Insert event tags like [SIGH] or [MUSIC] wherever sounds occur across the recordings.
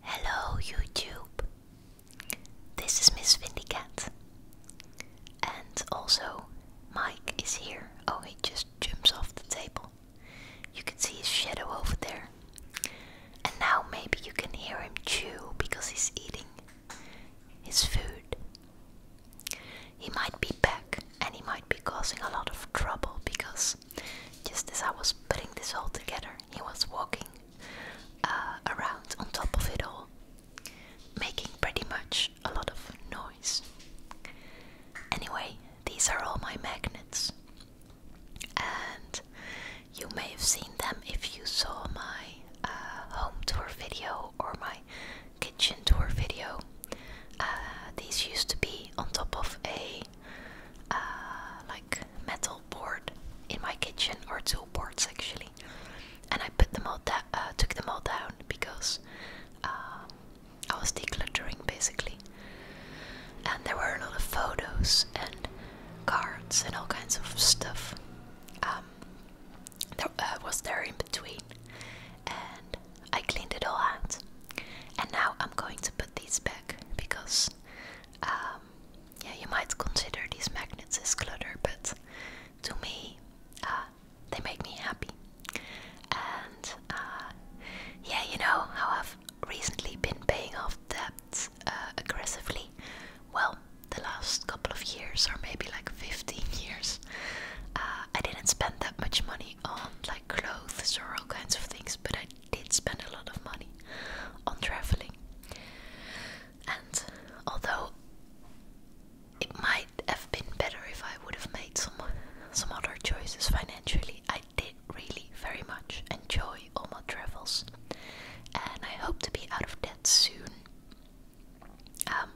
Hello YouTube! This is Miss Cat, And also, Mike is here. Oh, he just jumps off the table. You can see his shadow over there. And now maybe you can hear him chew because he's eating his food. He might be back and he might be causing a lot of trouble because just as I was putting this all together, he was walking uh, around on top of it all, making pretty much a lot of noise. Anyway, these are all my magnets, and you may have seen them if you saw my uh, home tour video or my kitchen tour video. Uh, these used to be on top of a uh, like metal board in my kitchen, or two boards actually, and I put them all down, uh, took them all down because uh, I was decluttering basically, and there were a lot of photos and cards and all kinds of stuff. Um, that was there in between, and I cleaned it all out. And now I'm going to put these back because um, yeah, you might consider these magnets as clutter, but to me, uh, they make me happy. And uh, yeah, you know how I've recently been paying off debt uh, aggressively. Well, the last couple of years, or maybe like 15 years, I didn't spend that much money on like clothes or all kinds of things, but I did spend a lot of money on traveling. And although it might have been better if I would have made some some other choices financially, I did really very much enjoy all my travels, and I hope to be out of debt soon, um,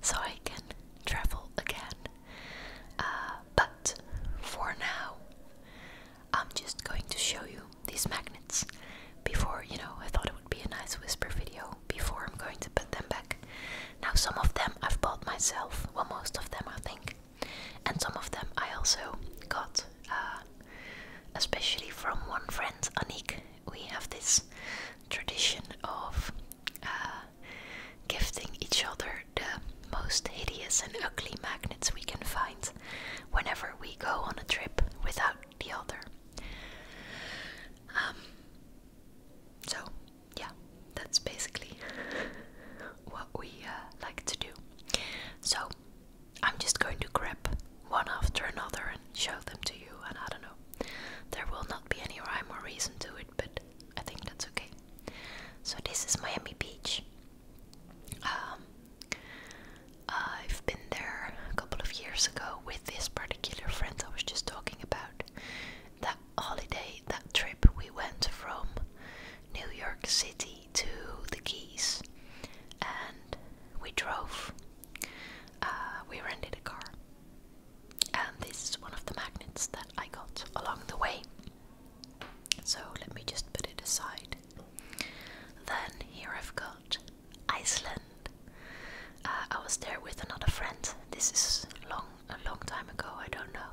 so I can travel again. Uh, but for now, I'm just going to show you these magnets before, you know, I thought it would be a nice whisper video before I'm going to put them back. Now, some of them I've bought myself, well, most of them I think, and some of them I also got, uh, especially from one friend, Anik. We have this tradition of uh, gifting each other the most hideous and ugly magnets we can find whenever we go on a trip without the other. Um, so, yeah, that's basically [LAUGHS] what we uh, like to do. So, I'm just going to grab one after another and show them to you, and I don't know. There will not be any rhyme or reason to it, but I think that's okay. So, this is Miami Beach. Um, I've been there a couple of years ago with this particular friend I was just talking about. That holiday, that trip, we went from New York City to the Keys and we drove. Uh, we rented a car. And this is one of the magnets that I got along the way. So let me just put it aside. Then here I've got Iceland. Uh, I was there with another friend. This is long a long time ago. I don't know,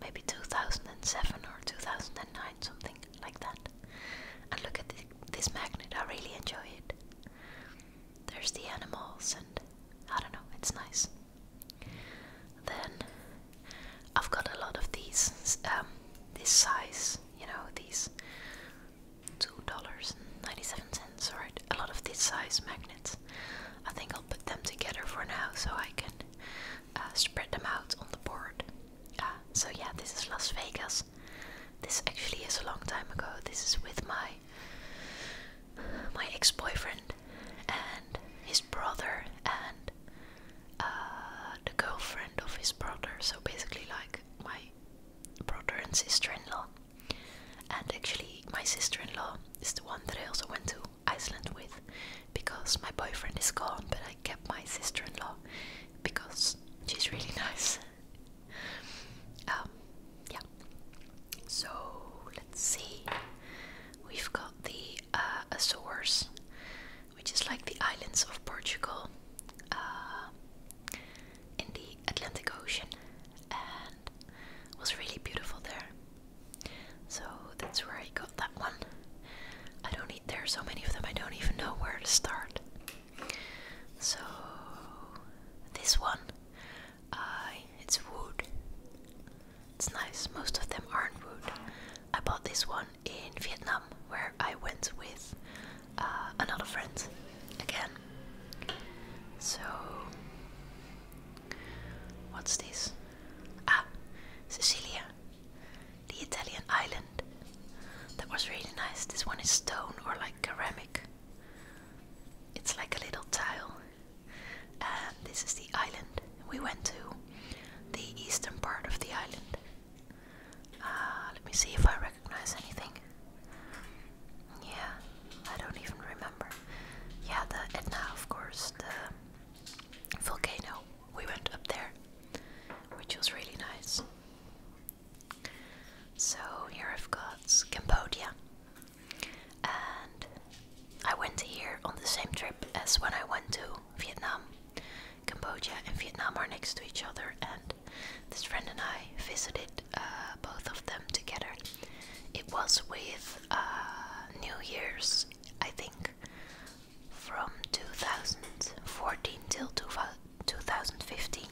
maybe 2007 or 2009, something like that. And look at this magnet. I really enjoy it. There's the animals, and I don't know. It's nice. Then I've got a lot of these. Um, this size you know, these two dollars and ninety-seven cents or a lot of this size magnets. I think I'll put them together for now so I can uh, spread them out on the board. Uh, so yeah, this is Las Vegas. This actually is a long time ago. This is with my my ex-boyfriend and his brother and uh, the girlfriend of his brother, so basically like my brother and sister-in-law. And actually, my sister-in-law is the one that I also went to Iceland with, because my boyfriend is gone, but I kept my sister-in-law because she's really [LAUGHS] nice. Um, yeah. So let's see. We've got the uh, which is like the islands of Portugal uh, in the Atlantic Ocean, and was really beautiful there. So that's where I got that one. I don't need. There are so many of them. I don't even know where to start. So this one, uh, it's wood. It's nice. Most of them aren't wood. I bought this one in Vietnam where I went with uh, another friend again. So, what's this? Ah, Sicilia, the Italian island. That was really nice. This one is stone or like ceramic. It's like a little tile. And this is the island. We went to the eastern part of the island. Uh, let me see if I recognize anything. Yeah, I don't even remember. Yeah, the Etna, of course, the volcano. We went up there, which was really nice. So here I've got Cambodia, and I went here on the same trip as when I went to Vietnam. Cambodia and Vietnam are next to each other, and this friend and I visited uh, both of them together. It was with uh, New Year's, I think, from 2014 till 2015,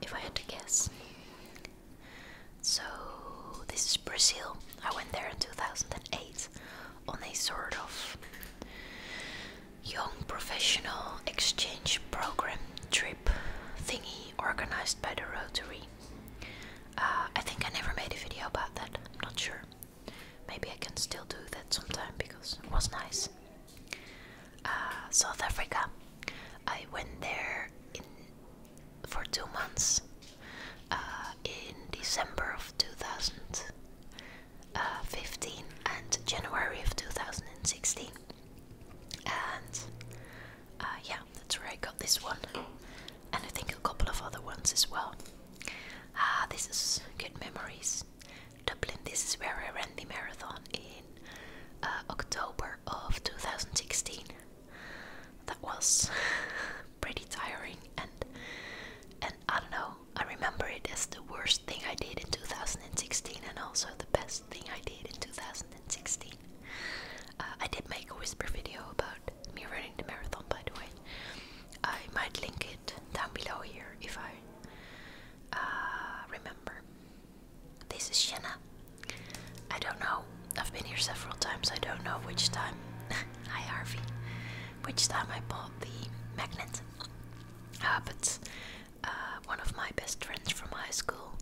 if I had to guess. So, this is Brazil. I went there in 2008 on a sort of young professional exchange program trip thingy organized by the Rotary. Uh, I think I never made a video about that, I'm not sure. Maybe I can still do that sometime because it was nice. Uh, South Africa. I went there in, for two months uh, in December of 2000. Uh, 15 and January of 2016. And uh, yeah, that's where I got this one, and I think a couple of other ones as well. Ah, this is good memories. Dublin, this is where I ran the marathon in uh, October of 2016. That was [LAUGHS] pretty tiring and I don't know, I remember it as the worst thing I did in 2016 and also the best thing I did in 2016. Uh, I did make a whisper video about me running the marathon, by the way. I might link it down below here if I uh, remember. This is Shanna. I don't know. I've been here several times. I don't know which time. [LAUGHS] Hi Harvey. Which time I bought the magnet happens. Uh, one of my best friends from high school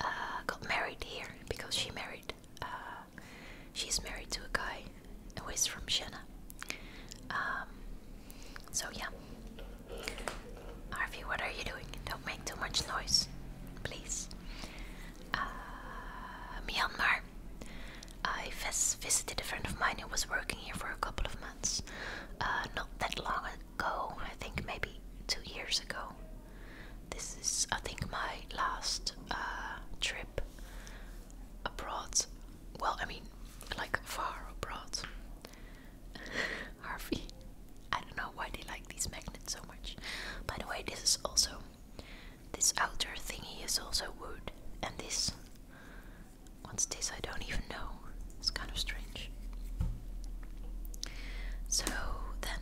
uh, got married here because she married. Uh, she's married to a guy who is from Siena. Um, so yeah. Harvey, what are you doing? Don't make too much noise, please. Uh, Myanmar. I vis visited a friend of mine who was working here for a couple of months months, uh, not that long ago, I think maybe two years ago. This is, I think, my last uh, trip abroad. Well, I mean, like far abroad. [LAUGHS] Harvey, I don't know why they like these magnets so much. By the way, this is also this outer thingy is also wood, and this What's this? I don't even know. It's kind of strange. So then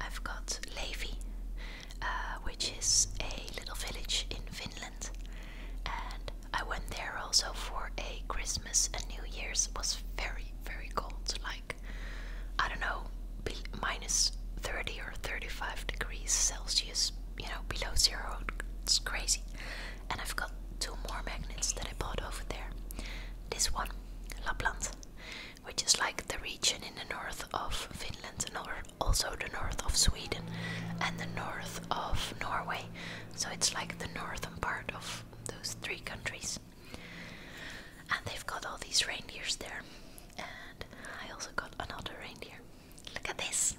I've got Levi, uh, which is a little village in Finland, and I went there also for a Christmas and New Year's. was very very cold, like I don't know, minus thirty or thirty-five degrees Celsius. You know, below zero. It's crazy. And I've got two more magnets that I bought over there. This one, Lapland, which is like the region in the north of Finland and also the north of Sweden and the north of Norway. So it's like the northern part of those three countries. And they've got all these reindeers there. And I also got another reindeer. Look at this.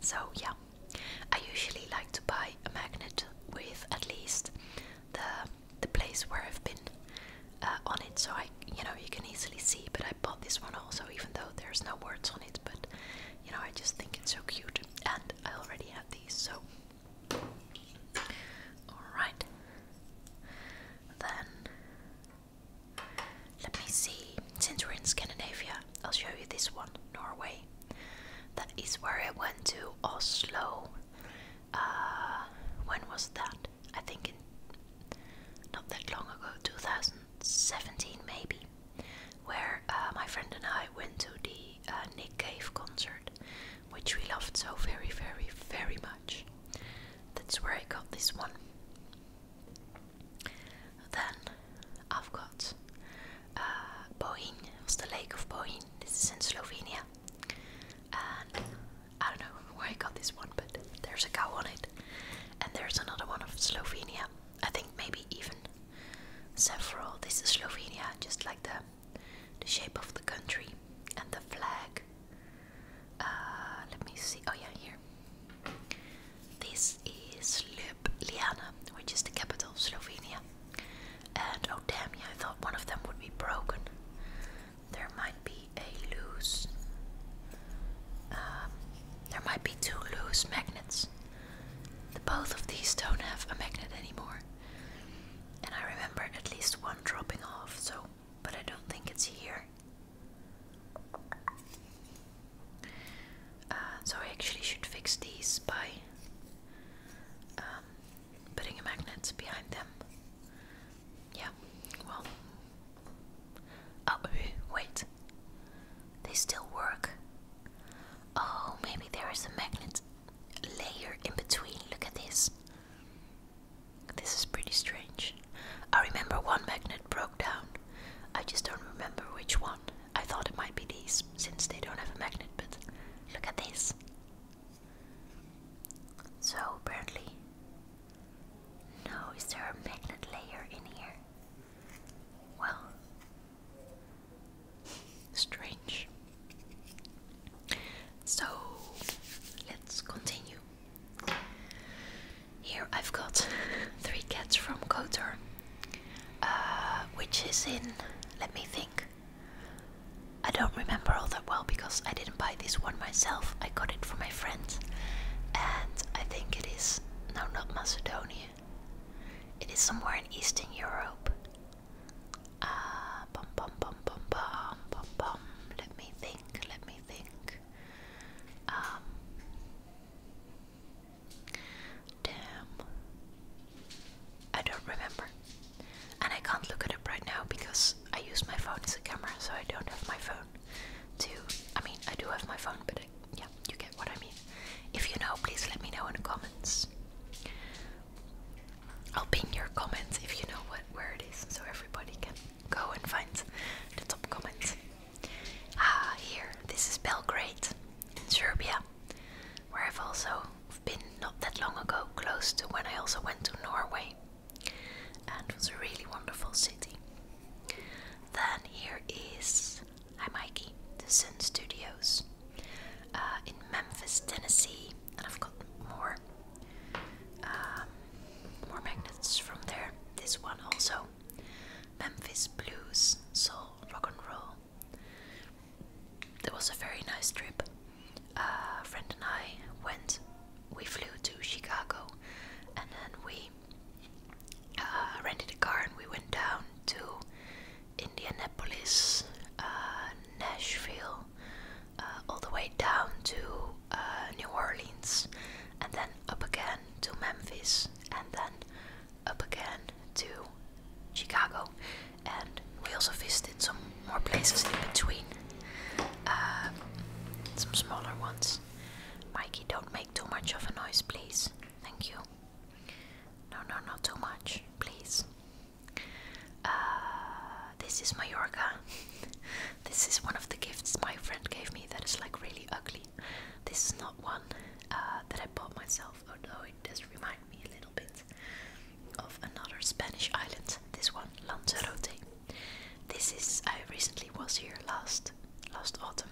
So, yeah, I usually like to buy a magnet with at least the the place where I've been uh, on it, so I, you know, you can easily see. But I bought this one also, even though there's no words on it. But you know, I just think it's so cute, and I already have these, so all right. Then let me see. Since we're in Scandinavia, I'll show you this one, Norway. That is where I went to Oslo. Uh, when was that? I think in not that long ago, 2017 maybe, where uh, my friend and I went to the uh, Nick Cave concert, which we loved so very, very, very much. That's where I got this one. Then I've got uh, Bohin, it's the lake of Bohin. This is in Slovenia. And I don't know where I got this one, but there's a cow on it. And there's another one of Slovenia. I think maybe even several. This is Slovenia, just like the the shape of the country and the flag. Uh, let me see. Oh yeah, here. This is Ljubljana, which is the capital of Slovenia. And oh damn, yeah, I thought one of them would be broken. There might be a loose. Um, there might be two loose magnets. The both of these don't have a magnet anymore. And I remember at least one dropping off, so but I don't think it's here. Uh, so I actually should fix these by um, putting a magnet behind them. Yeah, well. Oh, wait. They still work. Oh, maybe there is a magnet layer in between. Look at this. This is pretty strange. I remember one magnet broke down. I just don't remember which one. I thought it might be these since they don't have a magnet, but look at this. So apparently, no, is there a magnet layer in here? Well, strange. So let's continue. Here I've got [LAUGHS] three cats from Kotor, uh, which is in. Let me think. I don't remember all that well because I didn't buy this one myself. I got it from my friend, and I think it is no, not Macedonia. It is somewhere in Eastern Europe. Ah, uh, bum bum bum bum bum bum Let me think. Let me think. Um, Damn. I don't remember. And I can't look at it right now because I use my phone as a camera, so I don't have my phone to. I mean, I do have my phone, but I, yeah, you get what I mean. If you know, please let me know in the comments. I'll pin your comments if you know what where it is, so everybody can go and find the top comments. Ah, here, this is Belgrade, in Serbia, where I've also been not that long ago, close to when I also went to Norway, and it was a really wonderful city. Then here is Hi Mikey, the Sun Studios, uh, in Memphis, Tennessee, and I've got more. Um, more magnets from there. This one also Memphis blues, soul, rock and roll. It was a very nice trip. A friend and I went. We flew to Chicago, and then we uh, rented a car and we went down to Indianapolis, uh, Nashville, uh, all the way down to New Orleans, and then up again to Memphis, and then up again to Chicago, and we also visited some more places in between, um, some smaller ones. Mikey, don't make too much of a noise, please. Thank you. No, no, not too much, please. Uh, this is Mallorca. [LAUGHS] this is one of the gifts my friend gave me that is like really ugly. This is not one. Uh, that I bought myself, although it does remind me a little bit of another Spanish island, this one, Lanzarote. This is, I recently was here last, last autumn.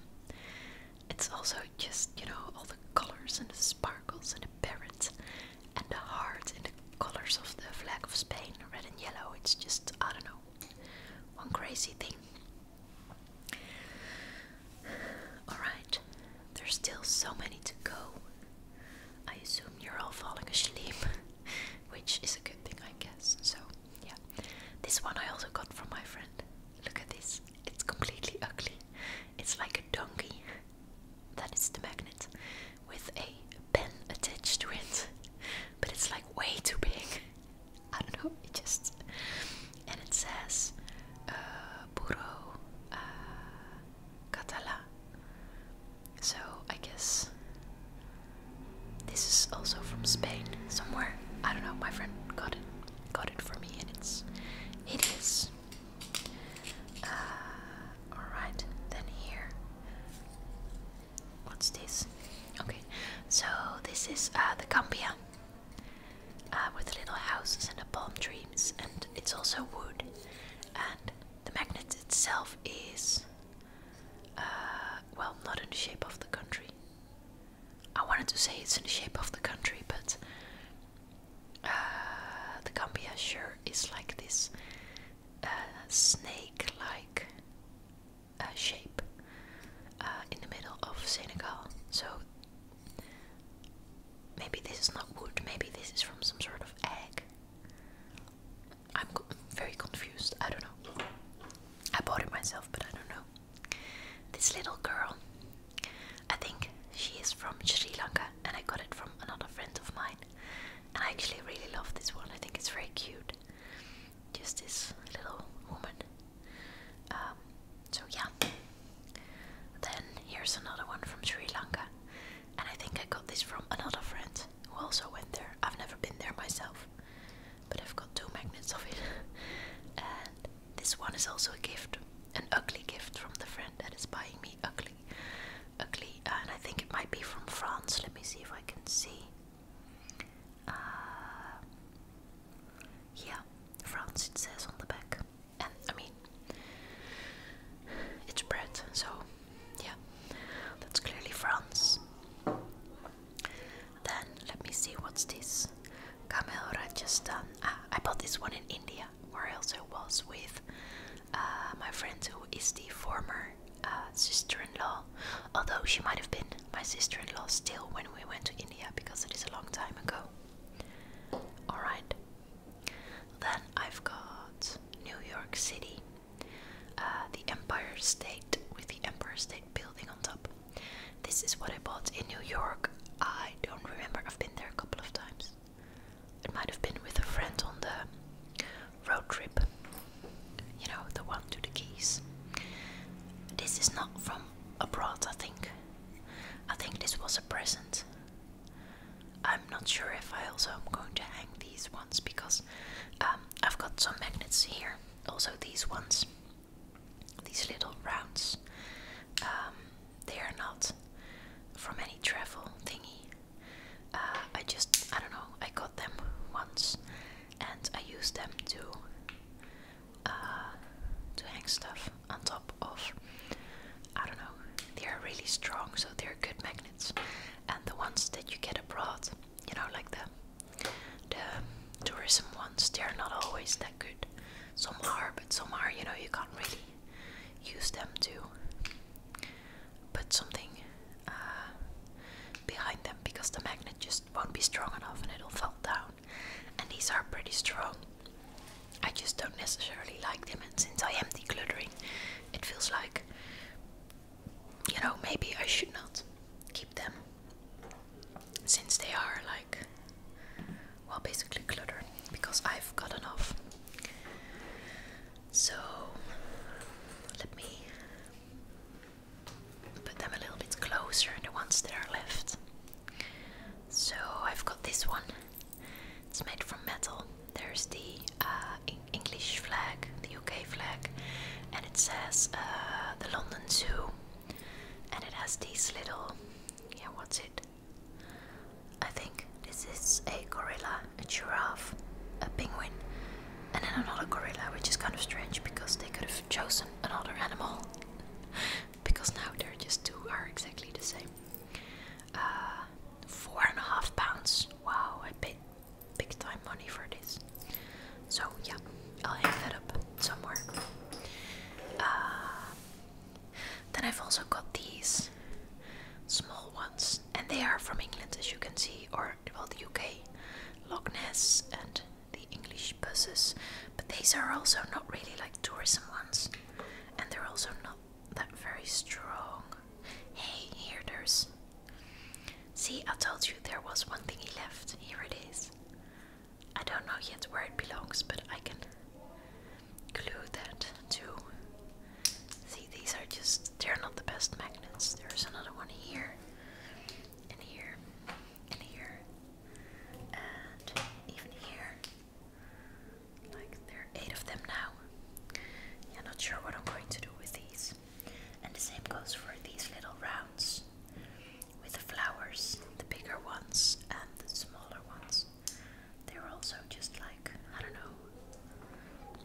It's also just, you know, all the colors and the sparkles and the parrots and the heart and the colors of the flag of Spain, red and yellow. It's just, I don't know, one crazy thing. Alright, there's still so many to go. I assume you're all falling asleep, [LAUGHS] which is a good thing, I guess. So, yeah. This one I also got from my friend. Look at this, it's completely ugly. It's like a donkey. That is the magnet with a pen attached to it, but it's like way too big. I don't know, it just and it says uh, uh catalá. So I guess this is also from Spain somewhere. I don't know. My friend got it, got it for me, and it's it is. Uh, all right, then here. What's this? Okay, so this is uh, the cambia. Uh, with little houses and palm trees, and it's also wood. And the magnet itself is, uh, well, not in the shape of the country. I wanted to say it's in the shape of the country, but uh, the Gambia is like this snake-like shape in the middle of Senegal. So Maybe this is not wood, maybe this is from some sort of egg. I'm very confused, I don't know. I bought it myself, but I don't know. This little girl, I think she is from Sri Lanka, and I got it from another friend of mine. And I actually really love this one, I think it's very cute. Just this little woman um, so yeah. Then here's another one from Sri Lanka, and I think I got this from another friend who also went there. I've never been there myself, but I've got two magnets of it. [LAUGHS] and this one is also a gift, an ugly gift from the friend that is buying me ugly, ugly. and I think it might be from France. Let me see if I can see. Uh, yeah, France it says on the back. And I mean, it's bread, so yeah, that's clearly France. Then let me see what's this. Camel Rajasthan. Um, ah, I bought this one in India, where I was with uh, my friend who is the former uh, sister-in-law. Although she might have been my sister-in-law still when we went to India, because it is a long time ago. Alright. Then I've got New York City, uh, the Empire State with the Empire State Building on top. This is what I bought in New York. I don't remember, I've been there a couple of times. It might have been with a friend on the road trip. You know, the one to the Keys. This is not from abroad, I think. I think this was a present. I'm not sure if I also am going to hang these ones because um, I've got some magnets here. Also, these ones, these little rounds, um, they are not from any travel thingy. Uh, I just, I don't know, I got them once and I used them to to uh, hang stuff on top of. I don't know, they are really strong, so they're good magnets. And the ones that you get abroad, you know, like the the tourism ones, they are not always that good. Some are, but some are, you know, you can't really use them to put something uh, behind them because the magnet just won't be strong enough and it'll fall down and these are pretty strong. I just don't necessarily like them, and since I am decluttering, it feels like you know maybe I should not keep them since they are like well basically cluttering because I've got enough. So let me put them a little bit closer, the ones that are left. So I've got this one. It's made from metal. There's the uh, English flag, the UK flag, and it says uh, the London Zoo. And it has these little. Yeah, what's it? I think this is a gorilla, a giraffe, a penguin, and then another gorilla, which is kind of strange because they could have chosen another animal because now they're just two are exactly the same. Uh, four and a half pounds. Wow, I paid big time money for this. So yeah, I'll hang that up somewhere. Uh, then I've also got these small ones, and they are from England, as you can see, or well, the UK, Loch Ness, and the English buses. But these are also not really like tourism ones and they're also not that very strong. Hey, here there's. See, I told you there was one thing he left. Here it is. I don't know yet where it belongs, but I can glue that too. See, these are just. They're not the best magnets. There's another one here, and here, and here, and even here. Like there are eight of them now. Yeah, not sure what I'm going to do with these. And the same goes for these little rounds with the flowers, the bigger ones and the smaller ones. They're also just like, I don't know,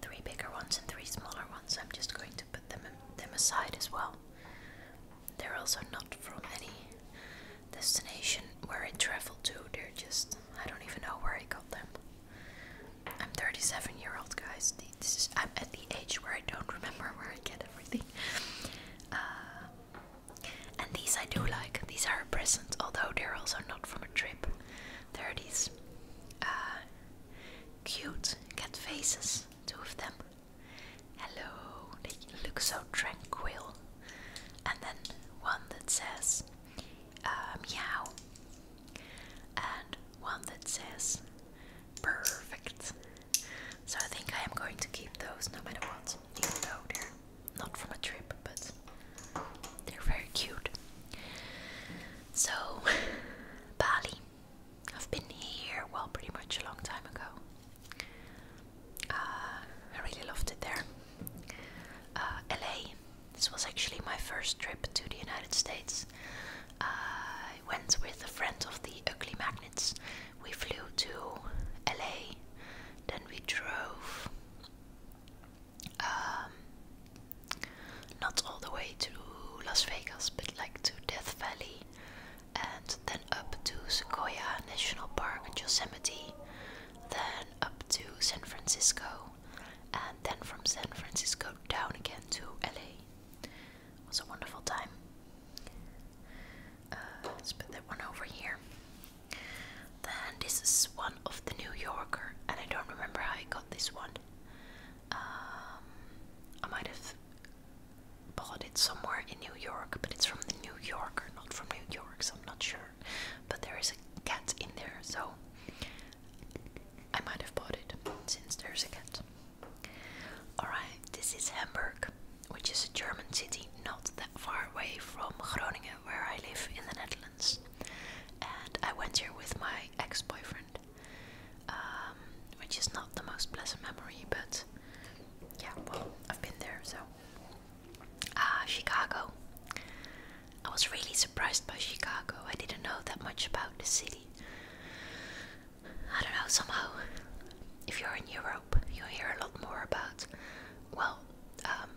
three bigger ones and three smaller ones. I'm just going to put them, them aside as well. They're also not from any destination where I travel to. They're just I don't even know where I got them. I'm 37 year old guys. I'm at the age where I don't remember where I get everything. Uh, and these I do like. These are a present, although they're also not from a trip. There are these uh, cute cat faces, two of them hello, they look so tranquil. And then one that says uh, meow, and one that says perfect. So I think I am going to keep those no matter what, even though they're not from a trip, but they're very cute. So, [LAUGHS] Bali. I've been here, well, pretty much a long time ago. Uh, I really loved it there. Uh, LA. This was actually my first trip to the United States. Uh, I went with a friend of the Ugly Magnets. We flew to LA, then we drove um, not all the way to Las Vegas, but like to Death Valley, and then up to Sequoia National Park and Yosemite, then up to San Francisco, and then from San Francisco down again to LA. It was a wonderful time. Uh, let's put that one over here. Then this is one of the New Yorker, and I don't remember how I got this one. Um, I might have bought it somewhere New York, but it's from the New Yorker, not from New York, so I'm not sure. But there is a cat in there, so I might have bought it since there's a cat. Alright, this is Hamburg, which is a German city not that far away from Groningen, where I live in the Netherlands. And I went here with my ex boyfriend, um, which is not the most pleasant memory, but yeah, well, I've been there, so Ah, Chicago. I was really surprised by Chicago. I didn't know that much about the city. I don't know, somehow, if you're in Europe, you hear a lot more about, well, um,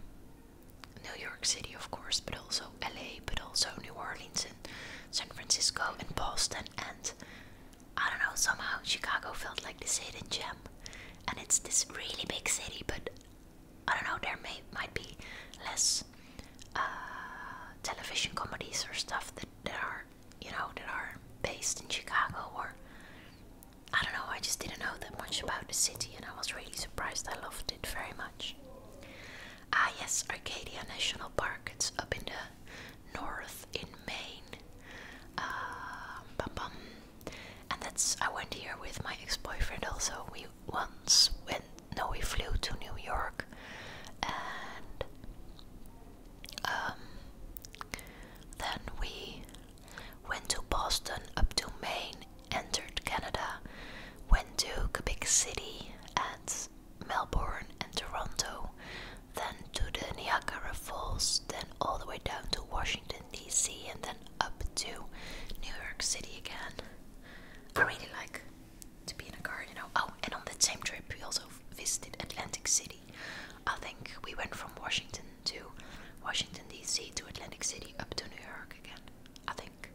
New York City, of course, but also LA, but also New Orleans and San Francisco and Boston. And I don't know, somehow Chicago felt like this hidden gem and it's this really big city, but I don't know. There may might be less uh, television comedies or stuff that that are you know that are based in Chicago or I don't know. I just didn't know that much about the city, and I was really surprised. I loved it very much. Ah yes, Arcadia National Park. It's up in the north in Maine. Uh, bum, bum and that's I went here with my ex-boyfriend also. We once went no we flew to New York and um, then we went to Boston up to Maine, entered Canada, went to Quebec City and Melbourne and Toronto, then to the Niagara Falls, then all the way down to Washington DC and then up to New York City again. I really like to be in a car, you know. Oh, and on that same trip, we also visited Atlantic City. I think we went from Washington to Washington, D.C. to Atlantic City up to New York again. I think.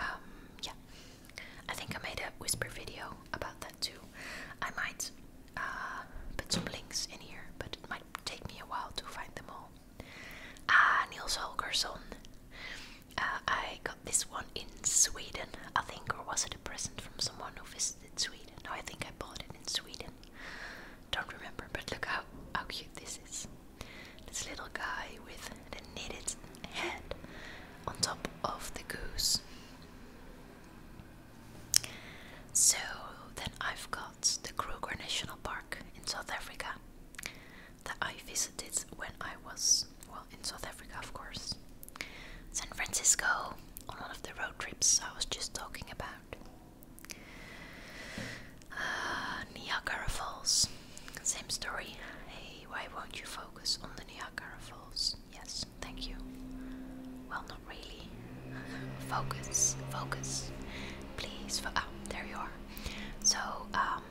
Um, yeah. I think I made a whisper video about that too. I might uh, put some links in here, but it might take me a while to find them all. Ah, Niels Holgersson. Uh, I got this one in Sweden, I think, or was it a present from someone who visited Sweden? I think I bought it in Sweden. Don't remember, but look how, how cute this is. This little guy with the knitted head on top of the goose. So then I've got the Kruger National Park in South Africa that I visited when I was, well, in South Africa, of course. San Francisco, on one of the road trips I was just talking about. Uh, Niagara Falls, same story. Hey, why won't you focus on the Niagara Falls? Yes, thank you. Well, really. focus, focus, please. Fo ah, there you are. So, um,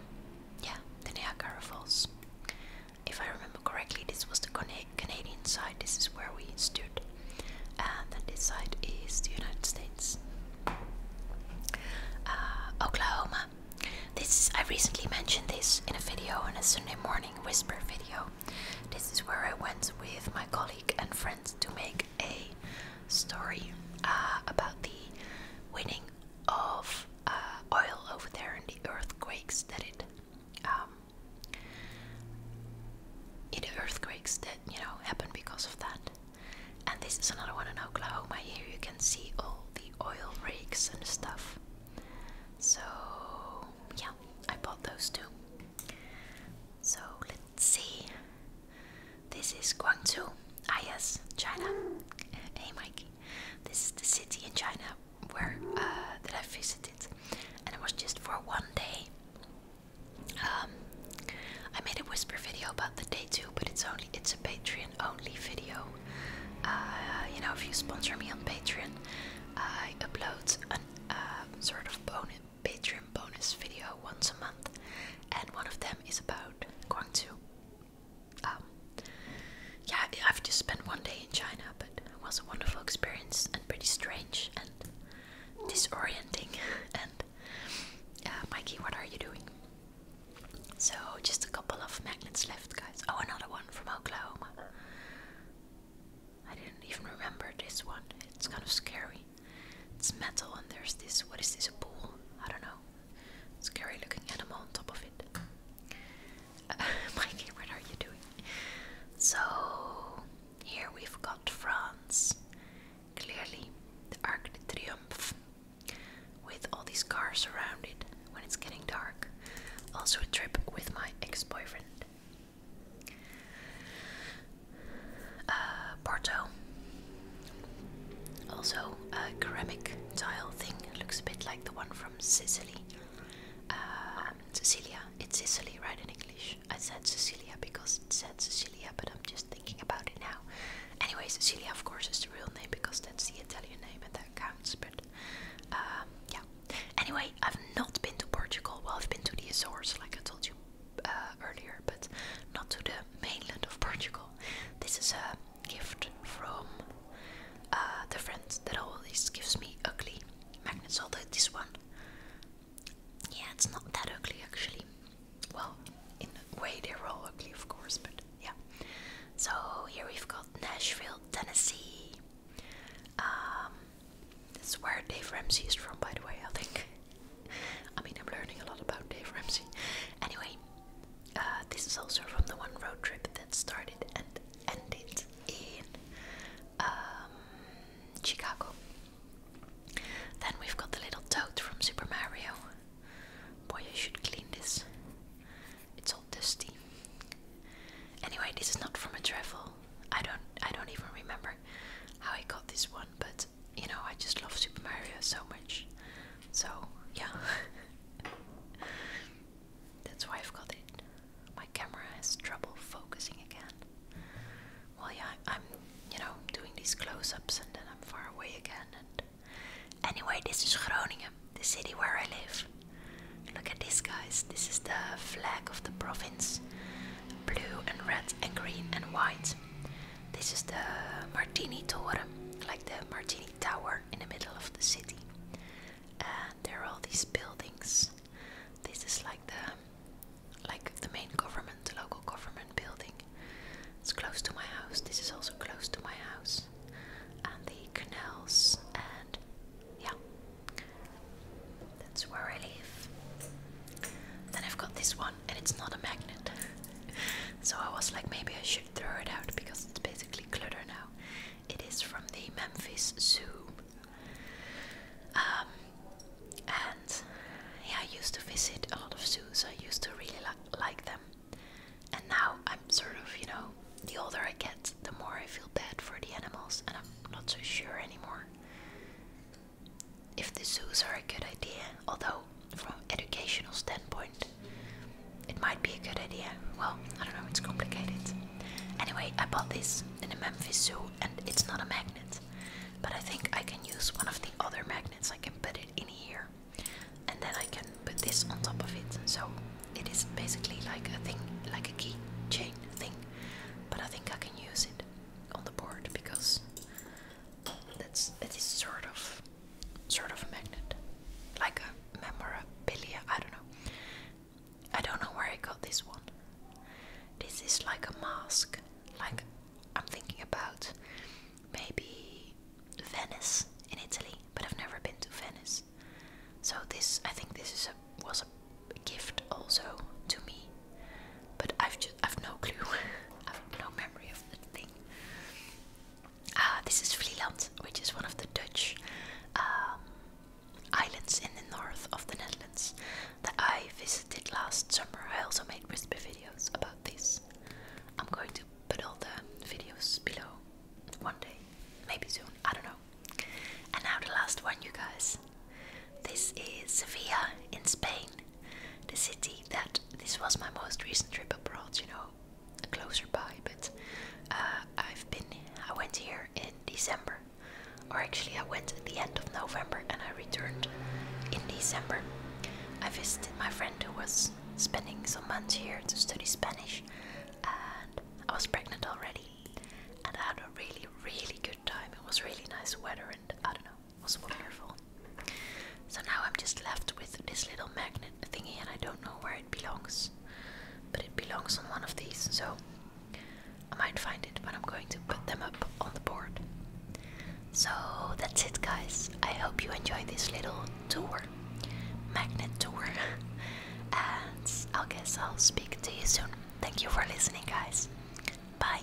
yeah, the Niagara Falls. If I remember correctly, this was the Canadian side. This is where we stood, and this side is the United States. Uh, Oklahoma. This I recently mentioned this in a video in a Sunday morning whisper video. This is where I went with my colleague and friends to make a story uh, about the winning of uh, oil over there and the earthquakes that it, um, the earthquakes that you know happen because of that. And this is another one in Oklahoma. Here you can see all the oil rigs and stuff. So yeah, I bought those too. So let's see. This is Guangzhou. Ah, yes, China. Hey, Mike, This is the city in China where uh, that I visited, and it was just for one day. Um, I made a whisper video about the day too, but it's only it's a Patreon only video. Uh, you know, if you sponsor me on Patreon, I upload a uh, sort of bonus Patreon bonus video once a month, and one of them is about going to. Um, yeah, I've just spent one day in China, but it was a wonderful experience and pretty strange and disorienting. [LAUGHS] and uh, Mikey, what are you doing? So, just a couple of magnets left, guys. Oh, another one from Oklahoma. I didn't even remember this one. It's kind of scary. It's metal and there's this what is this a pool? I don't know. Scary looking animal on top of it. Uh, [LAUGHS] Mikey, what are you doing? So here we've got France. Clearly the Arc de Triomphe with all these cars around it when it's getting dark. Also a trip with my ex-boyfriend. Uh, Porto. Also, a ceramic tile thing looks a bit like the one from Sicily. Uh, Cecilia. It's Sicily, right, in English? I said Cecilia because it said Cecilia, but I'm just thinking about it now. Anyway, Cecilia, of course, is the real name because that's the Italian name and that counts, but uh, yeah. Anyway, I've not been to Portugal. Well, I've been to the Azores, like I told you uh, earlier, but not to the mainland of Portugal. This is a gift from uh, the friends that all this gives me ugly magnets, although this one, yeah, it's not that ugly actually. Well, in a way, they're all ugly, of course, but yeah. So here we've got Nashville, Tennessee. Um, this is where Dave Ramsey is from, by the way, I think. I mean, I'm learning a lot about Dave Ramsey. Anyway, uh, this is also from the one road trip that started and ended in um, Chicago. Then we've got the little toad from Super Mario. Boy, I should clean this. It's all dusty. Anyway, this is not from a travel. I don't I don't even remember how I got this one, but you know, I just love Super Mario so much. So, yeah. [LAUGHS] That's why I've got it. My camera has trouble focusing again. Well, yeah, I'm, you know, doing these close ups and then I'm far away again. And Anyway, this is Groningen, the city where I live. Look at this, guys. This is the flag of the province blue and red and green and white. This is the Martini Tower, like the Martini Tower in the middle of the city. And there are all these buildings. This is like the like the main government, the local government building. It's close to my house. This is also close to my house. And the canals and yeah. That's where I live. Then I've got this one and it's not a magnet. [LAUGHS] so I was like, maybe I should throw it out because it's basically clutter now. It is from the Memphis Zoo. Um, and yeah, I used to visit a lot of zoos, I used to really li like them. And now I'm sort of, you know, the older I get, the more I feel bad for the animals, and I'm not so sure anymore if the zoos are a good idea, although from educational standpoint it might be a good idea. Well, I don't know, it's complicated. Anyway, I bought this in a Memphis zoo and it's not a magnet. But I think I can use one of the other magnets. I can put it in here and then I can put this on top of it. So it is basically like a thing, like a key chain thing. But I think I can use it on the board because that's it is sort of sort of a magnet. Like a memorabilia, I don't know. I don't know where I got this one. This is like a mask. Like I'm thinking about maybe Venice in Italy, but I've never been to Venice. So this I think this is a was a gift also to me but I've just I've no clue. [LAUGHS] I've no memory of the thing. Ah, this is Vlieland, which is one of the Dutch um, islands in the north of the Netherlands that I visited last summer. I also made whisper videos about this. I'm going to put all the videos below one day, maybe soon. I don't know. And now the last one, you guys. This is Sevilla in Spain the city that this was my most recent trip abroad, you know, closer by, but uh, I've been, I went here in December, or actually I went at the end of November and I returned in December. I visited my friend who was spending some months here to study Spanish, and I was pregnant already, and I had a really, really good time. It was really nice weather, and I don't know, was wonderful. So now I'm just left with this little magnet thingy, and I don't know where it belongs, but it belongs on one of these, so I might find it, but I'm going to put them up on the board. So that's it, guys. I hope you enjoyed this little tour, magnet tour, [LAUGHS] and I guess I'll speak to you soon. Thank you for listening, guys. Bye.